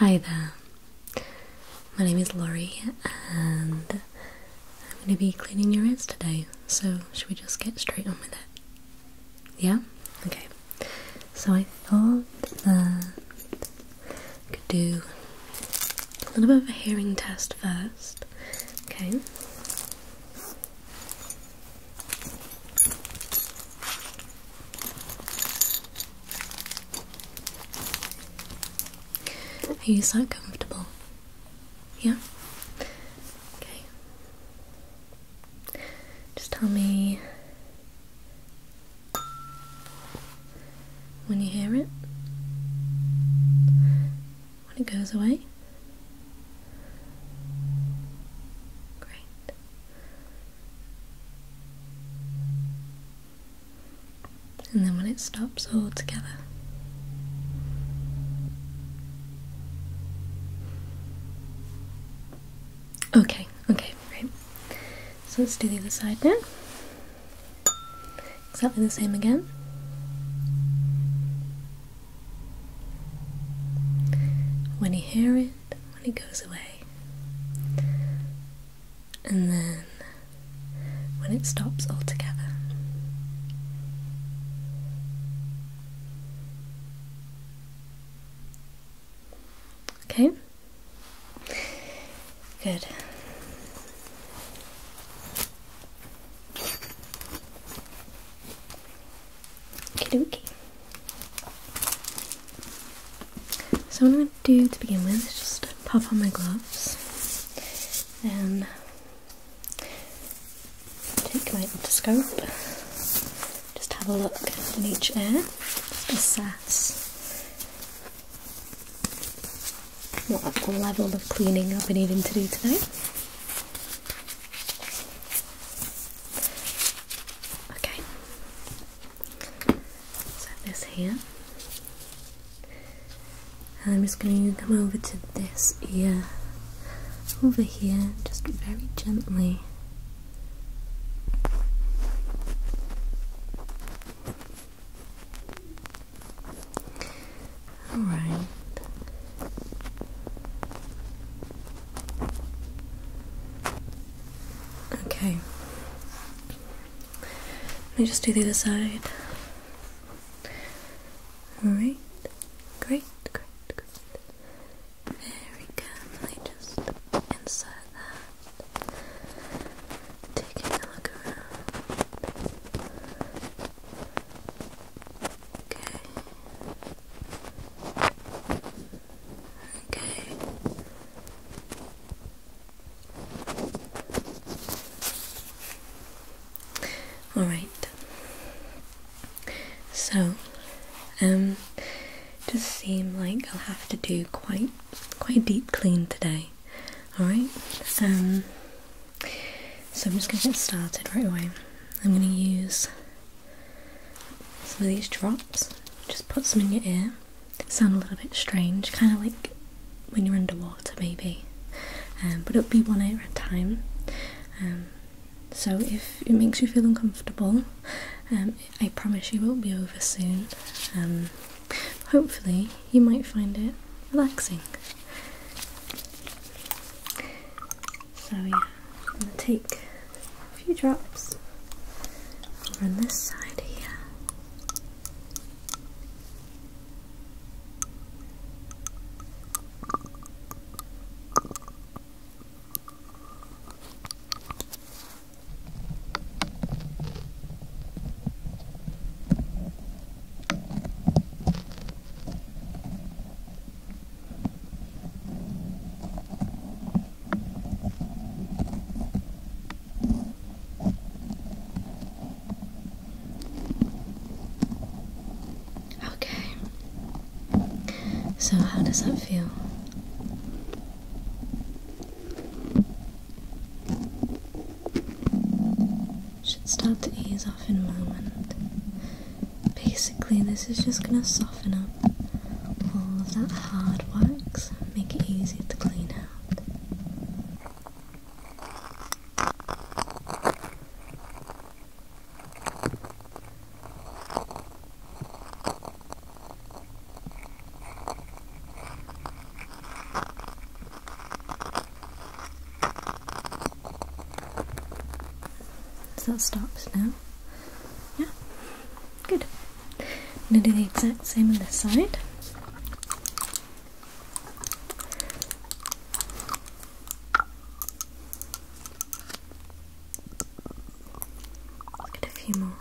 Hi there, my name is Laurie, and I'm going to be cleaning your ears today. So, should we just get straight on with it? Yeah? Okay. So, I thought that I could do a little bit of a hearing test first. Okay. Are you so comfortable? Yeah? Okay. Just tell me when you hear it, when it goes away. Great and then when it stops altogether. Okay, okay, great. So let's do the other side now. Exactly the same again. When you hear it, when it goes away. And then when it stops altogether. Okay? Good. Okie so, I'm going to do to begin with just pop on my gloves and take my otoscope, just have a look in each ear, assess what level of cleaning I'll be needing to do today. Okay, so this here. I'm just going to come over to this ear over here, just very gently. All right. Okay. Let me just do the other side. Alright. Great, great, great. Very carefully just insert that. Taking a look around. Okay. Okay. All right. So, um, just seem like I'll have to do quite quite deep clean today. All right. Um. So I'm just gonna get started right away. I'm gonna use some of these drops. Just put some in your ear sound a little bit strange, kind of like when you're underwater, maybe. Um, but it'll be one hour at a time. Um, so if it makes you feel uncomfortable, um, I promise you it will be over soon. hopefully, you might find it relaxing. So yeah, I'm gonna take a few drops on this side here. Okay. So, how does that feel? Should start to ease off in a moment. Basically, this is just gonna soften soften up all of that hard wax make it easier to clean out. So that stops now. Yeah, good. I'm going to do the exact same on this side. Get a few more.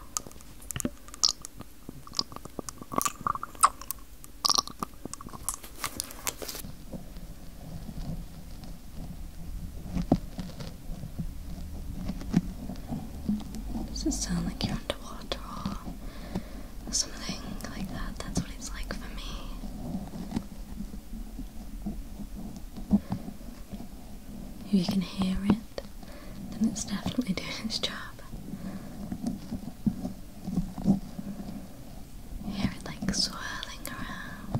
Does it sound like you're underwater or something like that? That's what it's like for me. If you can hear it, then it's definitely doing its job. Hear it like swirling around.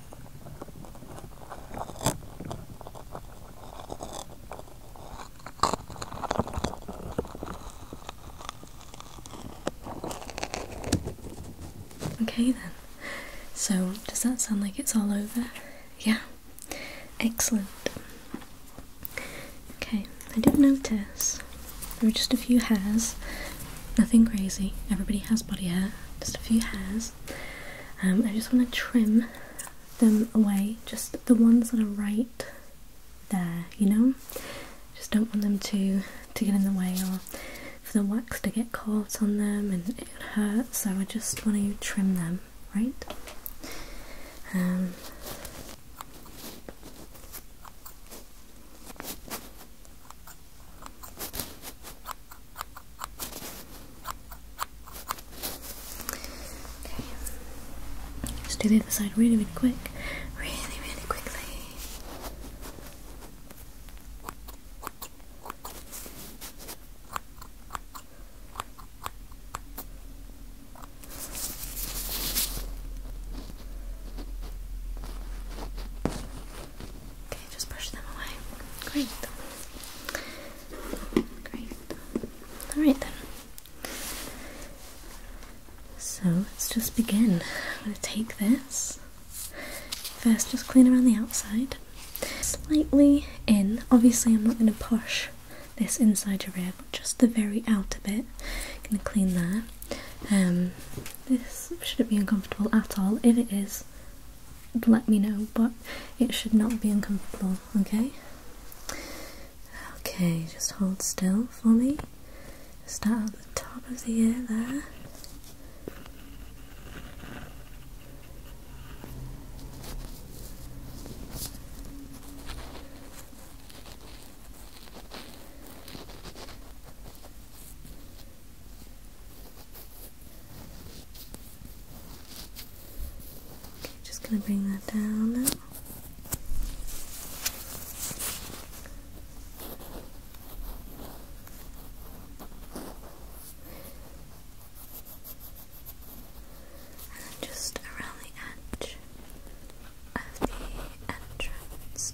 Okay then. So, does that sound like it's all over? Yeah. Excellent. Okay, I did not notice there were just a few hairs. Nothing crazy. Everybody has body hair. Just a few hairs. Um, I just want to trim them away, just the ones that are right there, you know? Just don't want them to, to get in the way or for the wax to get caught on them and it hurts, so I just want to trim them, right? Um, Okay. Let's do the other side really, really quick. Really, really quickly. Okay, just brush them away. Great. Great. Alright then. So let's just begin. I'm going to take this. First, just clean around the outside. Slightly in. Obviously, I'm not going to push this inside your ear, just the very outer bit. going to clean that. Um, this shouldn't be uncomfortable at all. If it is, let me know, but it should not be uncomfortable, okay? Okay, just hold still for me. Start at the top of the ear there. Okay, just gonna bring that down now. And just around the edge of the entrance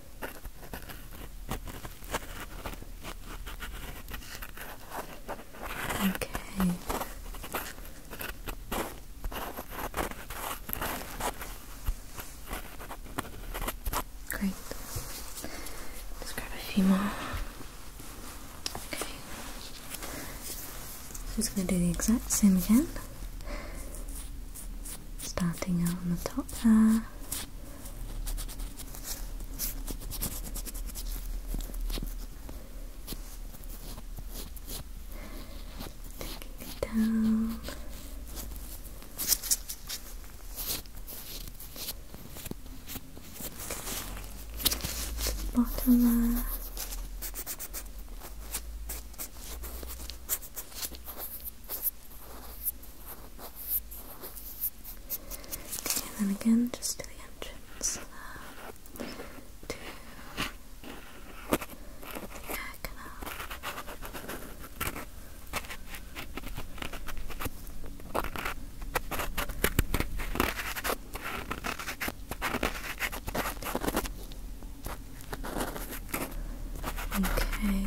Okay. Great. Let's grab a few more. Okay. just going to do the exact same again. Starting out on the top there. Taking it down. bottom there. Okay, and then again, just uh, to the entrance Okay,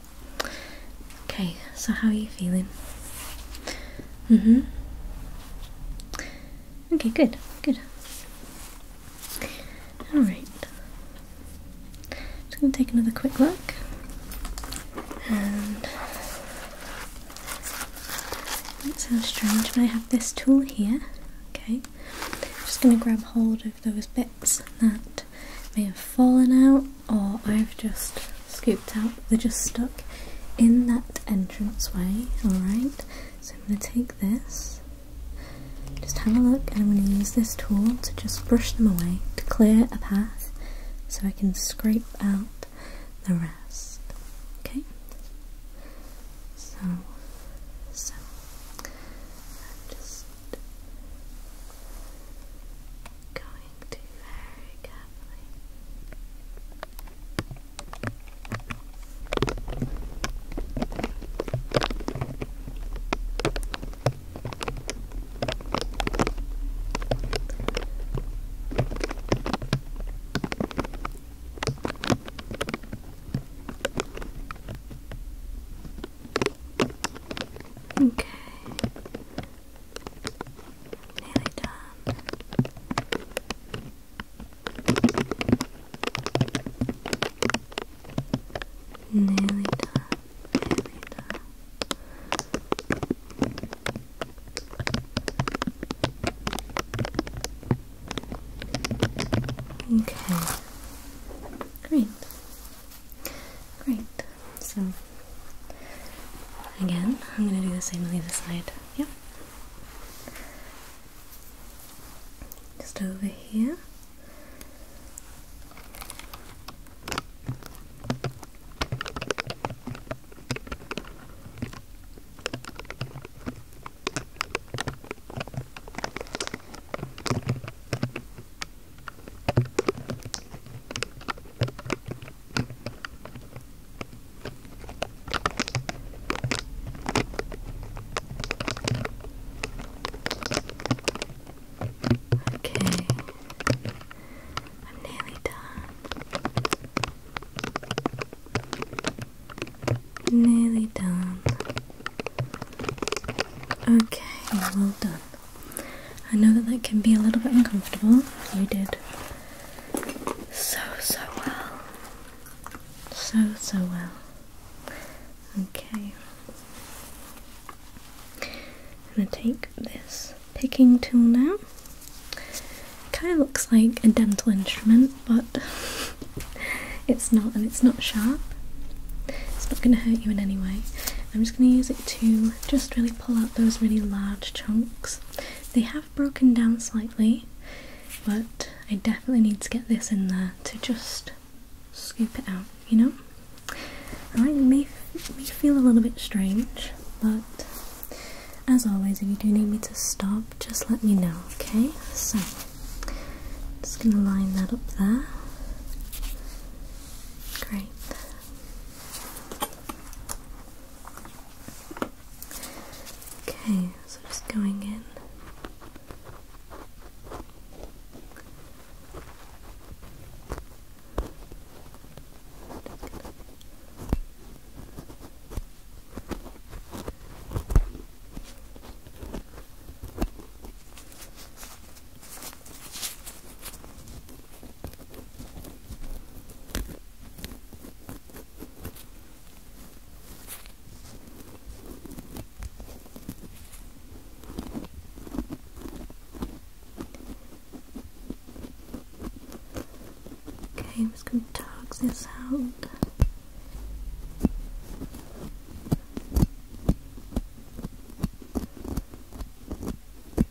Okay, so how are you feeling? Mm-hmm. Okay, good, good. Alright. Just gonna take another quick look. And that sounds strange, but I have this tool here. Okay. just gonna grab hold of those bits that that may have fallen out or I've just scooped out. They're just stuck in that entranceway, alright? So I'm going to take this, just have a look, and I'm going to use this tool to just brush them away to clear a path so I can scrape out the rest. Okay? So, so, just Going to very carefully. Okay, Nearly done. Nearly done. Nearly done. Okay. Great. Great. So again, I'm gonna do the same on the other side. Yep. Just over here. Okay, I'm nearly done. Nearly done. Okay, well done. I know that that can be a little bit uncomfortable. You did so, so well. So, so well. Okay. I'm going to take this picking tool now. It kind of looks like a dental instrument, but it's not, and it's not sharp. It's not going to hurt you in any way. I'm just going to use it to just really pull out those really large chunks. They have broken down slightly, but I definitely need to get this in there to just scoop it out, you know? Alright, it may, may feel a little bit strange, but as always, if you do need me to stop, just let me know, okay? So, just going to line that up there. Great. Okay, so just going in. Okay, I'm just going to tug this out. Okay.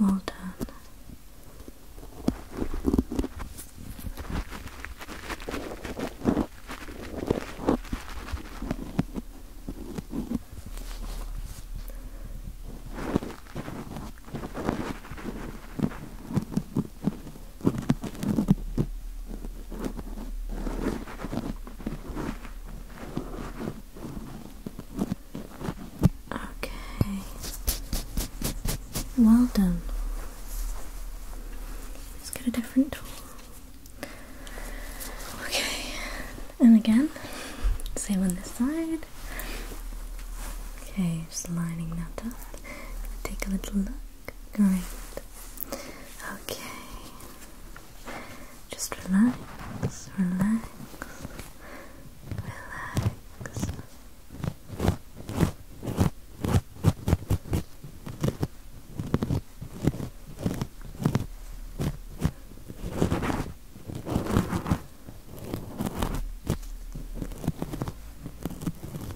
Well done. Okay. Well done. Let's get a different tool. Okay. And again, same on this side. Okay, just lining that up. Take a little look. Great. Okay. Just relax, relax, relax.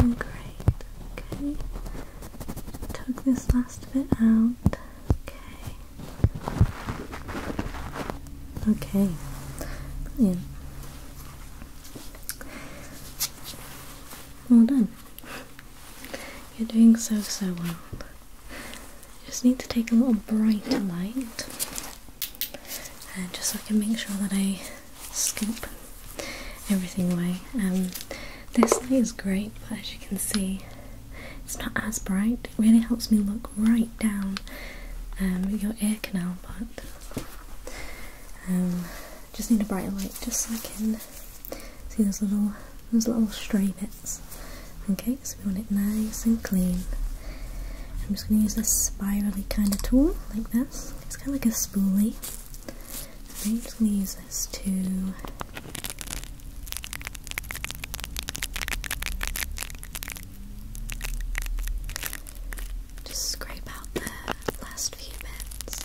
Oh, great. Okay. Took this last bit out. Okay. Okay. Brilliant. Well done. You're doing so, so well. Just need to take a little brighter light, just so I can make sure that I scoop everything away. Um, this light is great, but as you can see, it's not as bright. It really helps me look right down um, your ear canal, but um, just need a brighter light just so I can see those little those little stray bits. Okay, so we want it nice and clean. I'm just going to use this spirally kind of tool, like this. It's kind of like a spoolie. I'm going to use this to just scrape out the last few bits.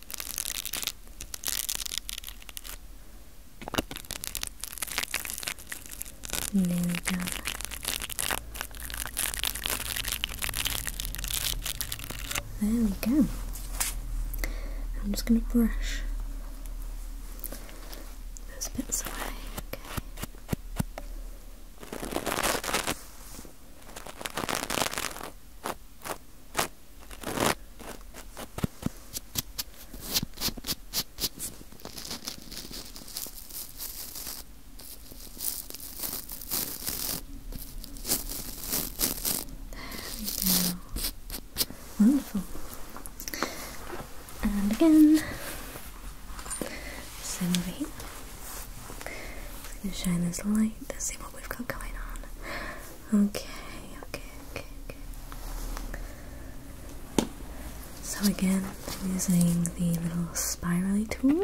And we done. There we go. I'm just going to brush those bits away. Okay. There we go. Wonderful. And again. Same over here. gonna shine this light. Let's see what we've got going on. Okay, okay, okay, okay. So again, using the little spirally tool.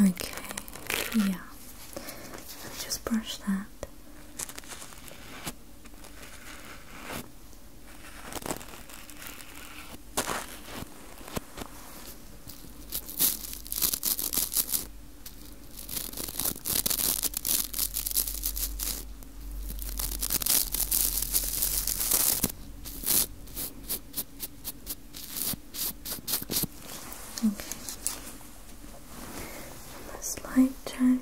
okay, yeah. Just brush that. Okay. This light check.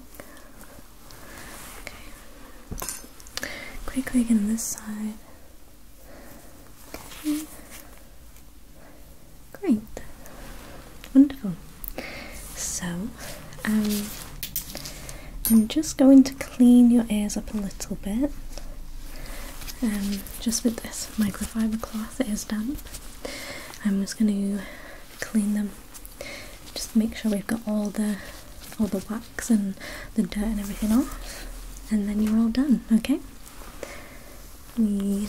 Okay. Quickly again in this side. Okay. Great, wonderful. So, um, I'm just going to clean your ears up a little bit. Um, just with this microfiber cloth, it is damp. I'm just going to clean them. Just make sure we've got all the all the wax and the dirt and everything off, and then you're all done. Okay. We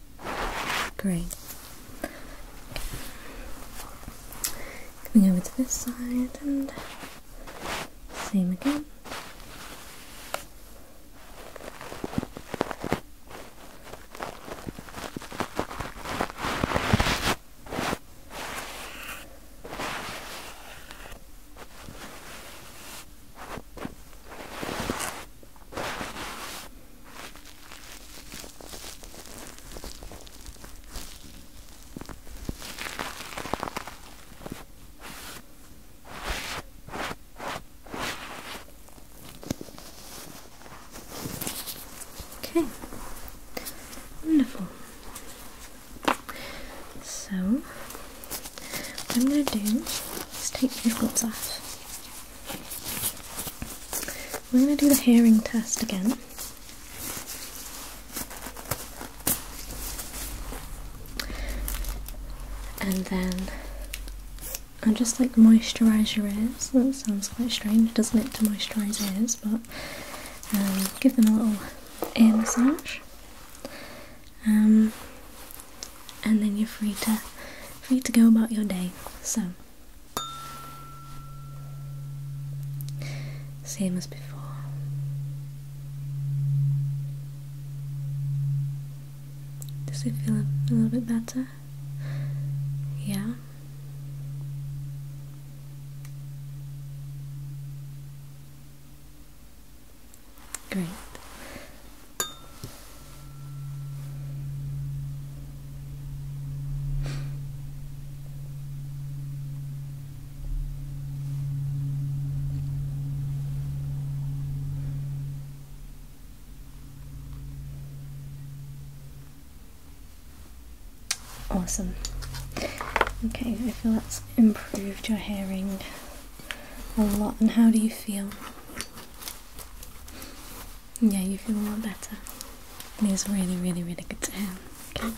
Great. Coming over to this side and same again. Okay, wonderful. So, I'm going to do is take these gloves off. We're going to do the hearing test again. And then I'll just like moisturise your ears. That sounds quite strange, doesn't it, to moisturise ears? But um, give them a little ear massage. Um, and then you're free to free to go about your day. So same as before. Does it feel a, a little bit better? Yeah. Great. Awesome. Okay, I feel that's improved your hearing a lot. And how do you feel? Yeah, you feel a lot better. It is really, really, really good to hear. Okay.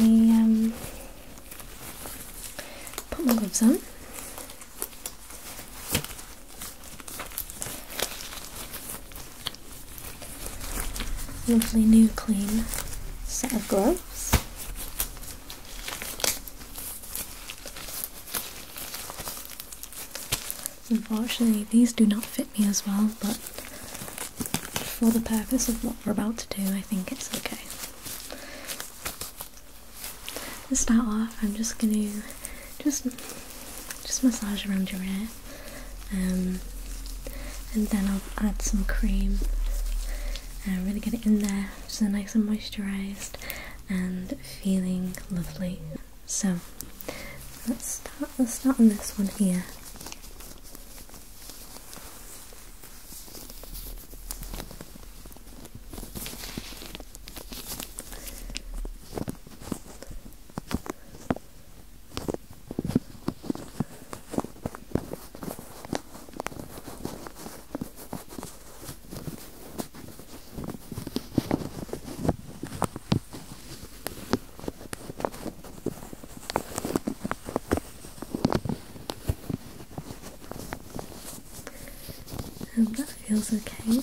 We um, put my gloves on. Lovely new clean set of gloves. Unfortunately, these do not fit me as well, but for the purpose of what we're about to do, I think it's okay. To start off, I'm just going to just just massage around your hair, um, and then I'll add some cream and uh, really get it in there, so nice and moisturised and feeling lovely. So let's start let's start on this one here that feels okay. Good.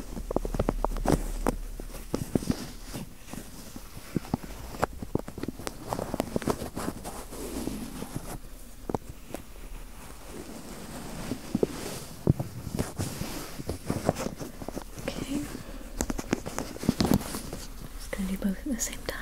Okay. Just both at the same time.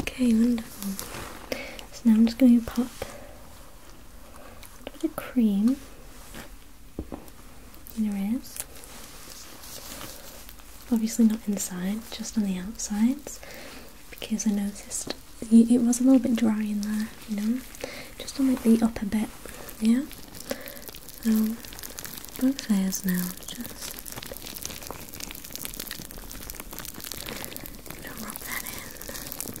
Okay, wonderful. So now I'm just going to pop a bit of cream in your ears. Obviously not inside, just on the outsides because I noticed it was a little bit dry in there, you know, just on like the upper bit, yeah. So um, both layers now, just to rub that in.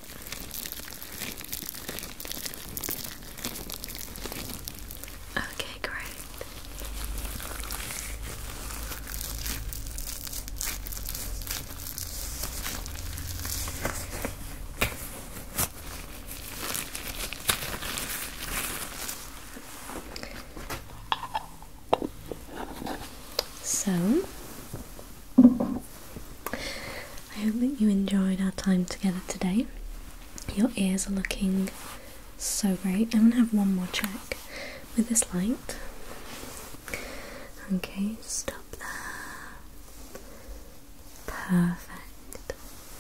Okay, great. So, I hope that you enjoyed our time together today. Your ears are looking so great. I'm going to have one more check with this light. Okay, stop there. Perfect.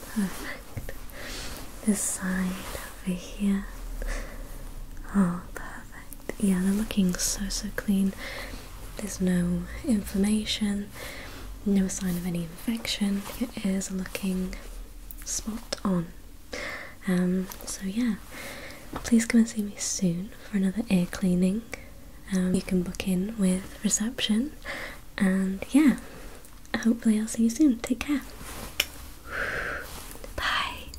Perfect. This side over here. Oh, perfect yeah, they're looking so so clean. There's no inflammation, no sign of any infection. It is looking spot on. Um, so yeah, please come and see me soon for another ear cleaning. Um, you can book in with reception, and yeah, hopefully I'll see you soon. Take care. Bye.